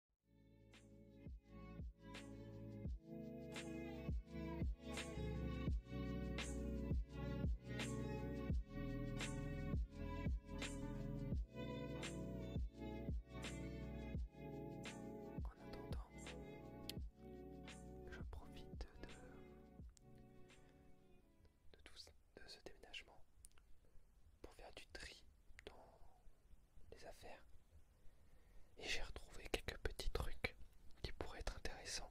En attendant, je profite de, de, tout, de ce déménagement pour faire du tri dans les affaires. Et j'ai retrouvé quelques petits trucs qui pourraient être intéressants.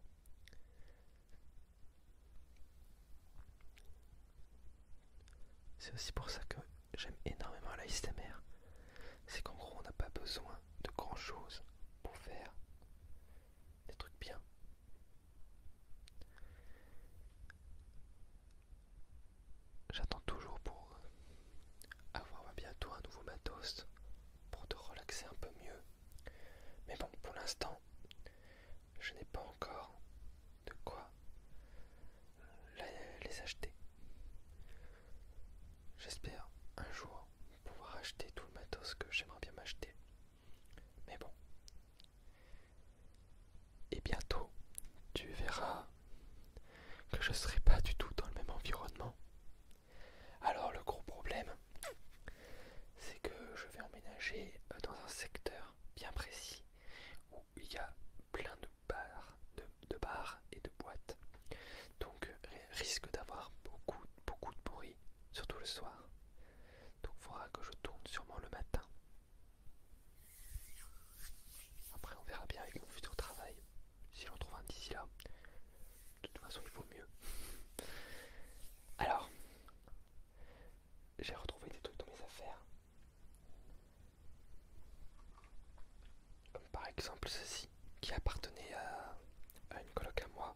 C'est aussi pour ça que j'aime énormément la SMR. C'est qu'en gros, on n'a pas besoin de grand chose pour faire des trucs bien. J'attends toujours pour euh, avoir bientôt un nouveau matos pour te relaxer un peu mieux. Mais bon, pour l'instant, je n'ai pas encore de quoi euh, les acheter. J'espère un jour pouvoir acheter tout le matos que j'aimerais bien m'acheter. Mais bon, et bientôt, tu verras que je ne serai pas du tout dans le même environnement. Alors le gros problème, c'est que je vais emménager euh, dans un secteur bien précis où il y a plein de bars, de, bars et de boîtes. Donc risque d'avoir beaucoup, beaucoup de bruit, surtout le soir. Donc il faudra que je tourne sûrement le matin. Après, on verra bien avec mon futur travail si j'en trouve un d'ici là. De toute façon, il vaut mieux. Alors, j'ai retrouvé des trucs dans mes affaires. Comme par exemple ceci qui appartenait à, une coloc à moi.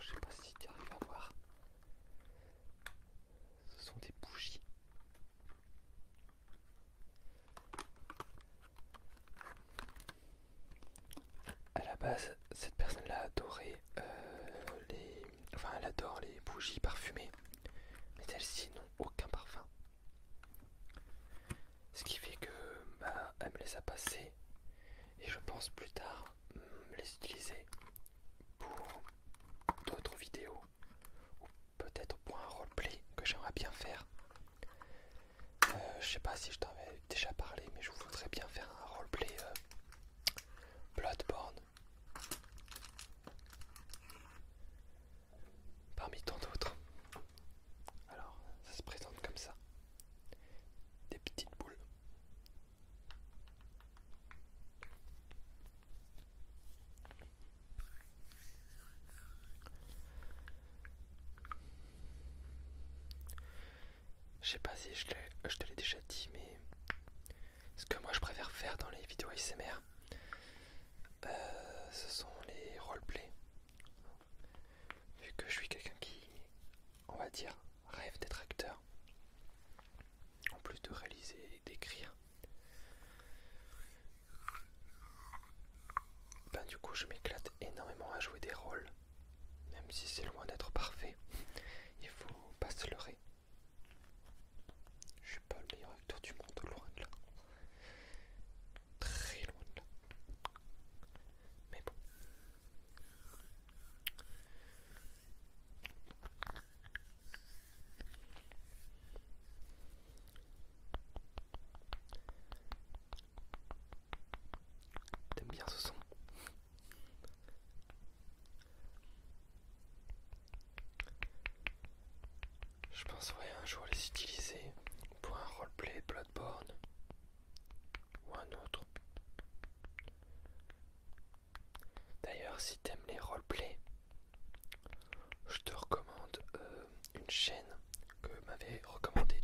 je sais pas si tu arrives à voir. Ce sont des bougies. À la base, cette personne-là adorait euh, elle adore les bougies parfumées, mais celles-ci n'ont aucun parfum. Ce qui fait que bah, elle me les a passées et je pense plus tard mm, les utiliser pour d'autres vidéos ou peut-être pour un roleplay que j'aimerais bien faire. Euh, je sais pas si je t'en avais déjà parlé, mais je voudrais bien faire un roleplay euh, Bloodborne. Parmi tant d'autres. Alors, ça se présente comme ça. Des petites boules je sais pas si je, te l'ai déjà dit, mais ce que moi je préfère faire dans les vidéos ASMR, euh, ce sont les roleplays. Vu que je suis quelqu'un qui, on va dire, rêve d'être acteur, en plus de réaliser et d'écrire. Ben du coup je m'éclate énormément à jouer des rôles, même si c'est loin d'être parfait, il faut pas se leurrer. Je suis pas le meilleur acteur du monde, loin de là. Très loin de là. Mais bon. T'aimes bien ce son Je pense un jour les utiliser pour un roleplay Bloodborne ou un autre. D'ailleurs, si t'aimes les roleplays, je te recommande euh, une chaîne que m'avait recommandé.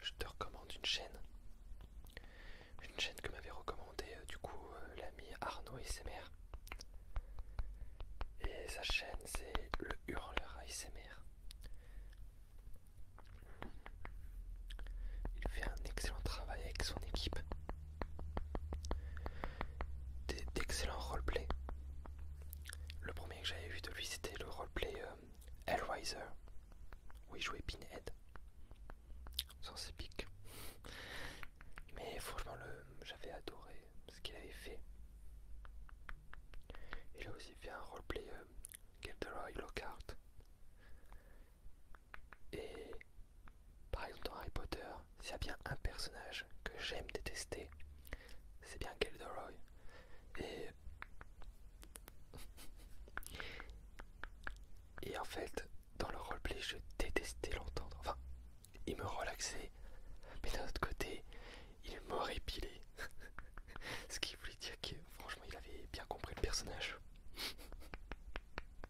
Je te recommande une chaîne. Une chaîne que m'avait recommandé euh, du coup euh, l'ami Arnaud ASMR. Et sa chaîne c'est le hurleur ASMR. Il fait un excellent travail avec son équipe d'excellents roleplays. Le premier que j'avais vu de lui, c'était le roleplay euh, où il jouait Pinhead. Sans épique. Mais franchement, j'avais adoré ce qu'il avait fait. Il a aussi fait un roleplay euh, Gilderoy Lockhart. Et par exemple dans Harry Potter, s'il y a bien un personnage que j'aime détester, c'est bien Gilderoy. Et... Et en fait, dans le roleplay, je détestais l'entendre. Enfin, il me relaxait, mais d'un autre côté, il m'aurait pilé. Ce qui voulait dire que franchement, il avait bien compris le personnage.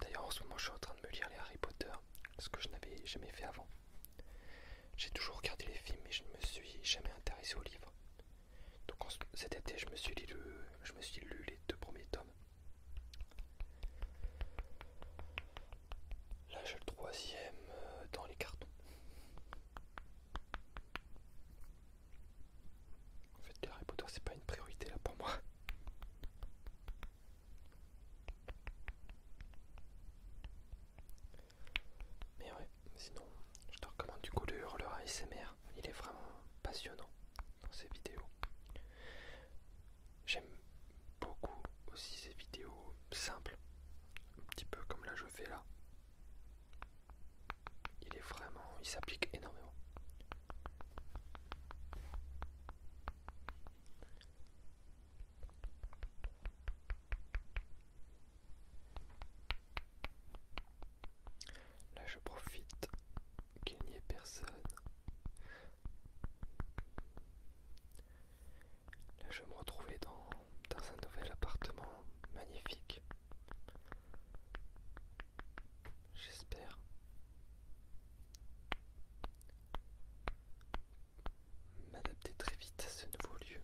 D'ailleurs, en ce moment, je suis en train de me lire les Harry Potter, ce que je n'avais jamais fait avant. J'ai toujours regardé les films, mais je ne me suis jamais intéressé aux livres. Donc cet été, je me suis lu, je me suis lu les deux premiers tomes. Là, j'ai le troisième euh, dans les cartons. En fait, les Harry c'est pas une priorité là pour moi. Mais ouais, sinon, je te recommande du coup le hurleur ASMR. Il est vraiment passionnant dans ses vidéos. J'aime beaucoup aussi ces vidéos simples, un petit peu comme là je fais là, il est vraiment, il s'applique énormément. Là, je profite qu'il n'y ait personne. Là, je vais me retrouver dans, dans un nouvel appartement magnifique. J'espère. M'adapter très vite à ce nouveau lieu.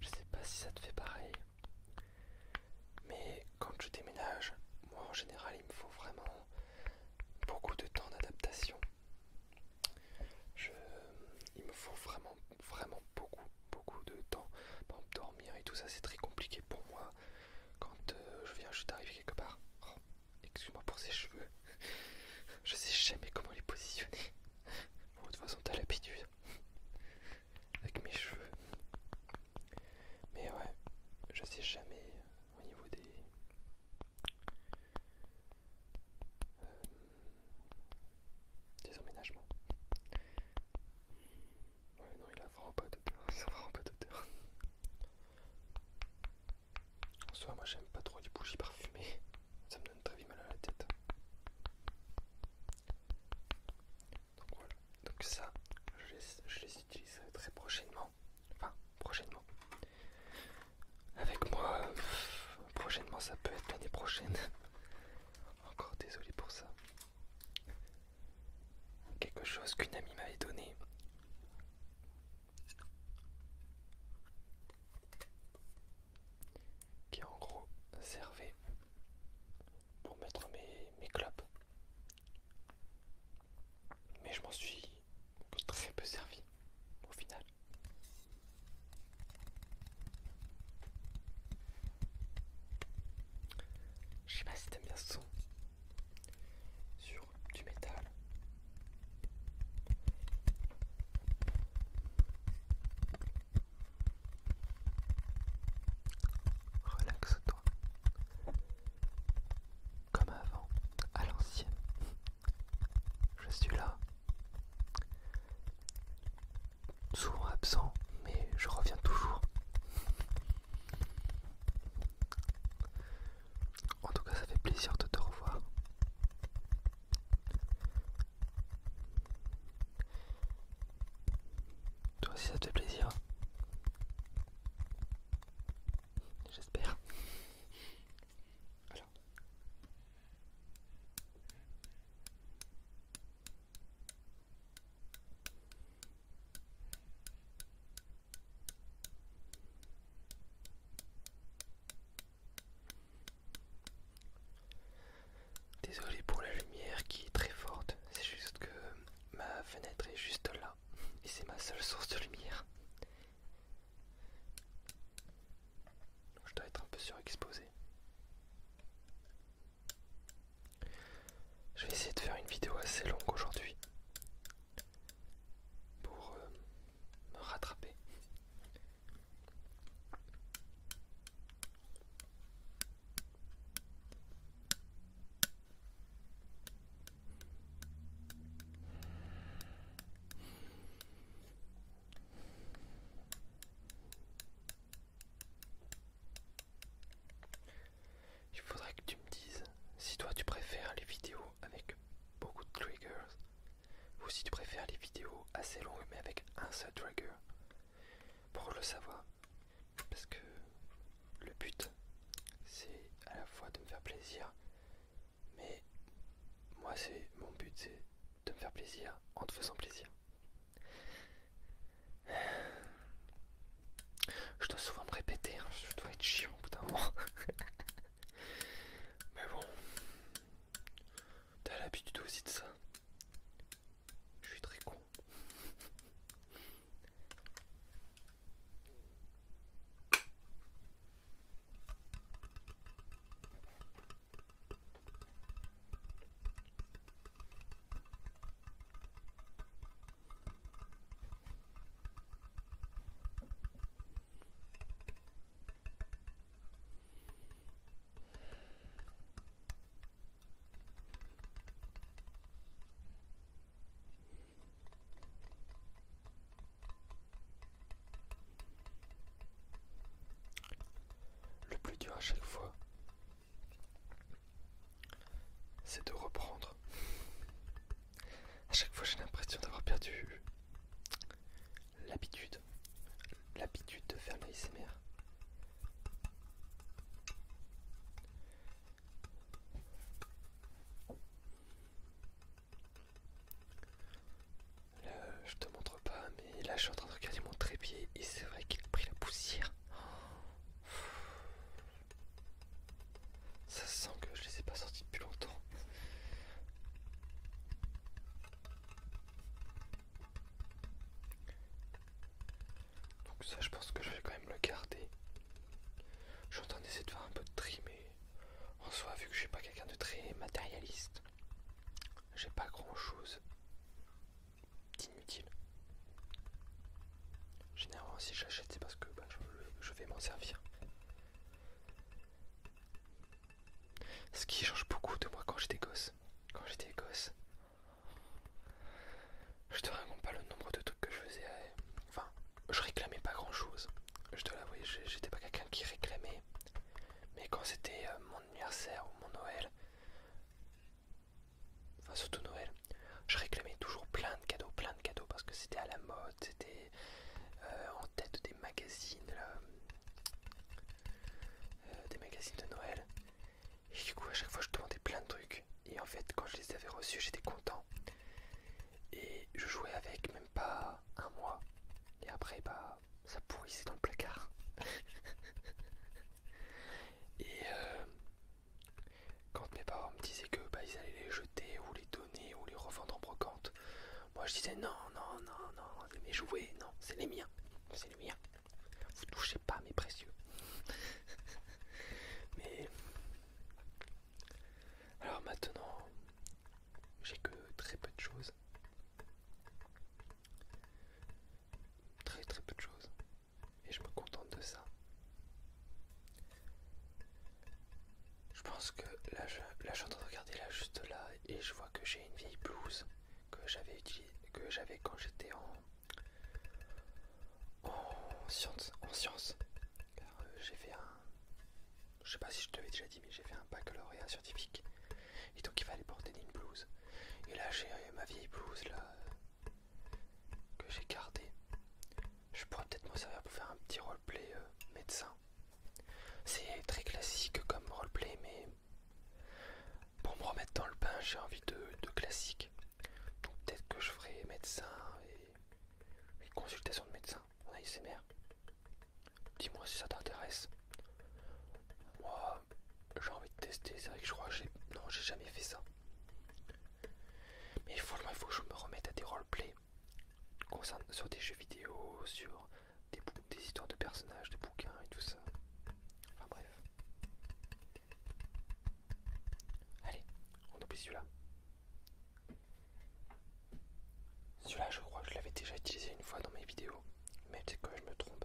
Je sais pas si ça te fait pareil. Mais quand je déménage, moi en général, il me faut vraiment beaucoup de temps d'adaptation. Il me faut vraiment, vraiment beaucoup beaucoup de temps. pour dormir et tout ça, c'est très compliqué pour moi quand euh, je viens juste d'arriver quelque part. Oh, excuse-moi pour ces cheveux. je sais jamais comment les positionner. de toute façon, t'as l'habitude avec mes cheveux. Mais ouais, je sais jamais au niveau des. Euh, des emménagements. Ouais, non, il a vraiment pas d'odeur. Ça a pas En soi, moi j'aime pas trop les bougies parfumées. Ça me donne très mal à la tête. Donc voilà. Donc ça, je les, utiliserai très prochainement. Enfin, prochainement. Avec moi, euh, prochainement, ça peut être l'année prochaine. Encore désolé pour ça. Quelque chose qu'une amie m'avait donné. Qui en gros servait pour mettre mes, mes clopes. Mais je m'en suis très peu servi au final. Je sais pas si t'aimes bien ça son sur du métal. Relaxe-toi. Comme avant, à l'ancienne. Je suis là souvent absent, mais je reviens toujours. En tout cas, ça fait plaisir de te revoir. Toi aussi, ça te fait plaisir. J'espère. Désolé pour la lumière qui est très forte, c'est juste que ma fenêtre est juste là et c'est ma seule source de lumière. je dois être un peu surexposé. Je vais essayer de faire une vidéo assez longue aujourd'hui pour euh, me rattraper. Il faudrait que tu me dises si toi tu préfères les vidéos avec beaucoup de triggers ou si tu préfères les vidéos assez longues mais avec un seul trigger. Pour le savoir, parce que le but c'est à la fois de me faire plaisir, mais moi c'est mon but c'est de me faire plaisir en te faisant plaisir. Je dois souvent me répéter, hein. je dois être chiant au Mais bon, t'as l'habitude aussi de ça. Je suis très con. Le plus dur à chaque fois, c'est de reprendre. À chaque fois, j'ai l'impression d'avoir perdu l'habitude, l'habitude de faire l'ASMR. Là, je te montre pas, et là, je suis en train de regarder mon trépied et c'est vrai qu'il a pris la poussière. Ça sent que je les ai pas sortis depuis longtemps. Donc ça je pense que je vais quand même le garder. Je suis en train d'essayer de faire un peu de tri mais en soi vu que je suis pas quelqu'un de très matérialiste, j'ai pas grand chose inutile. Généralement si j'achète c'est parce que bah, je, vais m'en servir. Ce qui change beaucoup de moi quand j'étais gosse. Quand j'étais gosse, je te raconte pas le nombre de trucs que je faisais. Euh, enfin, je réclamais pas grand chose. Je te l'avoue j'étais pas quelqu'un qui réclamait. Mais quand c'était euh, mon anniversaire ou mon Noël, enfin surtout Noël, je réclamais toujours plein de cadeaux, plein de cadeaux parce que c'était à la mode, c'était euh, en tête des magazines, euh, des magazines de Noël. Et du coup à chaque fois je demandais plein de trucs et en fait quand je les avais reçus j'étais content. Et je jouais avec même pas un mois. Et après bah ça pourrissait dans le placard. Et euh, quand mes parents me disaient que bah, ils allaient les jeter ou les donner ou les revendre en brocante, moi je disais non, non, non, non, mais jouer, jouets, non, c'est les miens, c'est les miens. Vous touchez pas mes précieux. Mais alors maintenant, j'ai que très peu de choses très très peu de choses et je me contente de ça. Je pense que là je, suis en train de regarder là juste là et je vois que j'ai une vieille blouse que j'avais utilisée que j'avais quand j'étais en en science en science euh, j'ai fait un je sais pas si je te l'ai déjà dit mais j'ai fait un baccalauréat scientifique et donc il fallait porter une blouse. Et là j'ai euh, ma vieille blouse là que j'ai gardée. Je pourrais peut-être m'en servir pour faire un petit roleplay euh, médecin. C'est très classique comme roleplay mais pour me remettre dans le bain j'ai envie de, classique. Donc peut-être que je ferai médecin et, consultation de médecin en ASMR. Dis-moi si ça t'intéresse j'ai envie de tester. C'est vrai que je crois que j'ai. Non, j'ai jamais fait ça. Mais il faut que je me remette à des roleplays sur des jeux vidéo, sur des, histoires de personnages, de bouquins et tout ça. Enfin bref. Allez, on oublie celui-là. Celui-là, je crois que je l'avais déjà utilisé une fois dans mes vidéos, mais c'est être que je me trompe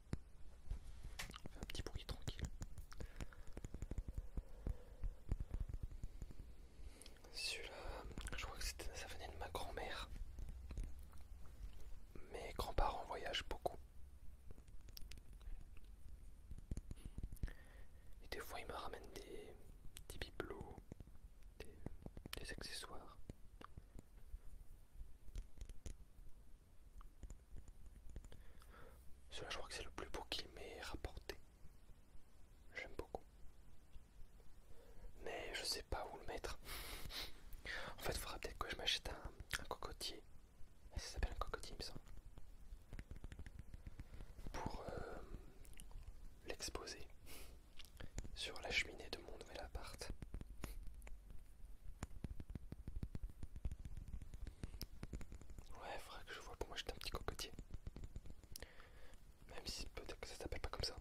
fait un petit bruit tranquille. Celui-là, je crois que ça venait de ma grand-mère. Mes grands-parents voyagent beaucoup. Et des fois, ils me ramènent des, bibelots, des accessoires. Cela, je crois que c'est le plus beau qu'il m'ait rapporté. J'aime beaucoup. Mais je sais pas où le mettre. En fait, il faudra peut-être que je m'achète un, cocotier. Ça s'appelle un cocotier, il me semble. Pour euh, l'exposer sur la cheminée de mon nouvel appart. Ouais, faudrait que je vois. Pour moi, j'étais un petit cocotier. Même si peut-être que ça s'appelle pas comme ça.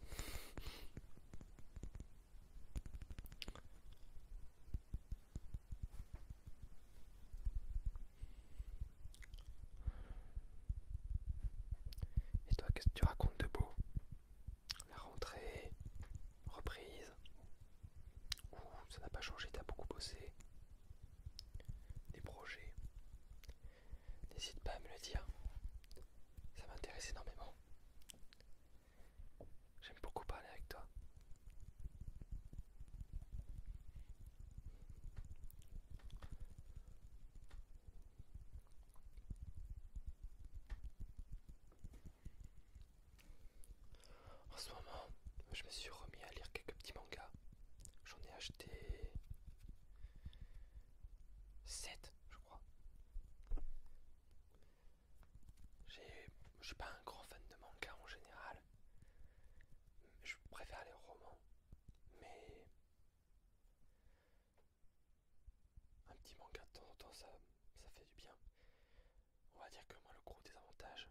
Et toi, qu'est-ce que tu racontes de beau La rentrée, reprise, Ouh, ça n'a pas changé, t'as beaucoup bossé. Des projets. N'hésite pas à me le dire. Ça m'intéresse énormément. J'aime beaucoup parler avec toi. En ce moment, je me suis remis à lire quelques petits mangas. J'en ai acheté 7, je crois. Je suis pas un grand fan de manga en général. Je préfère les romans. Mais un petit manga de temps en temps, ça fait du bien on va dire que moi le gros désavantage.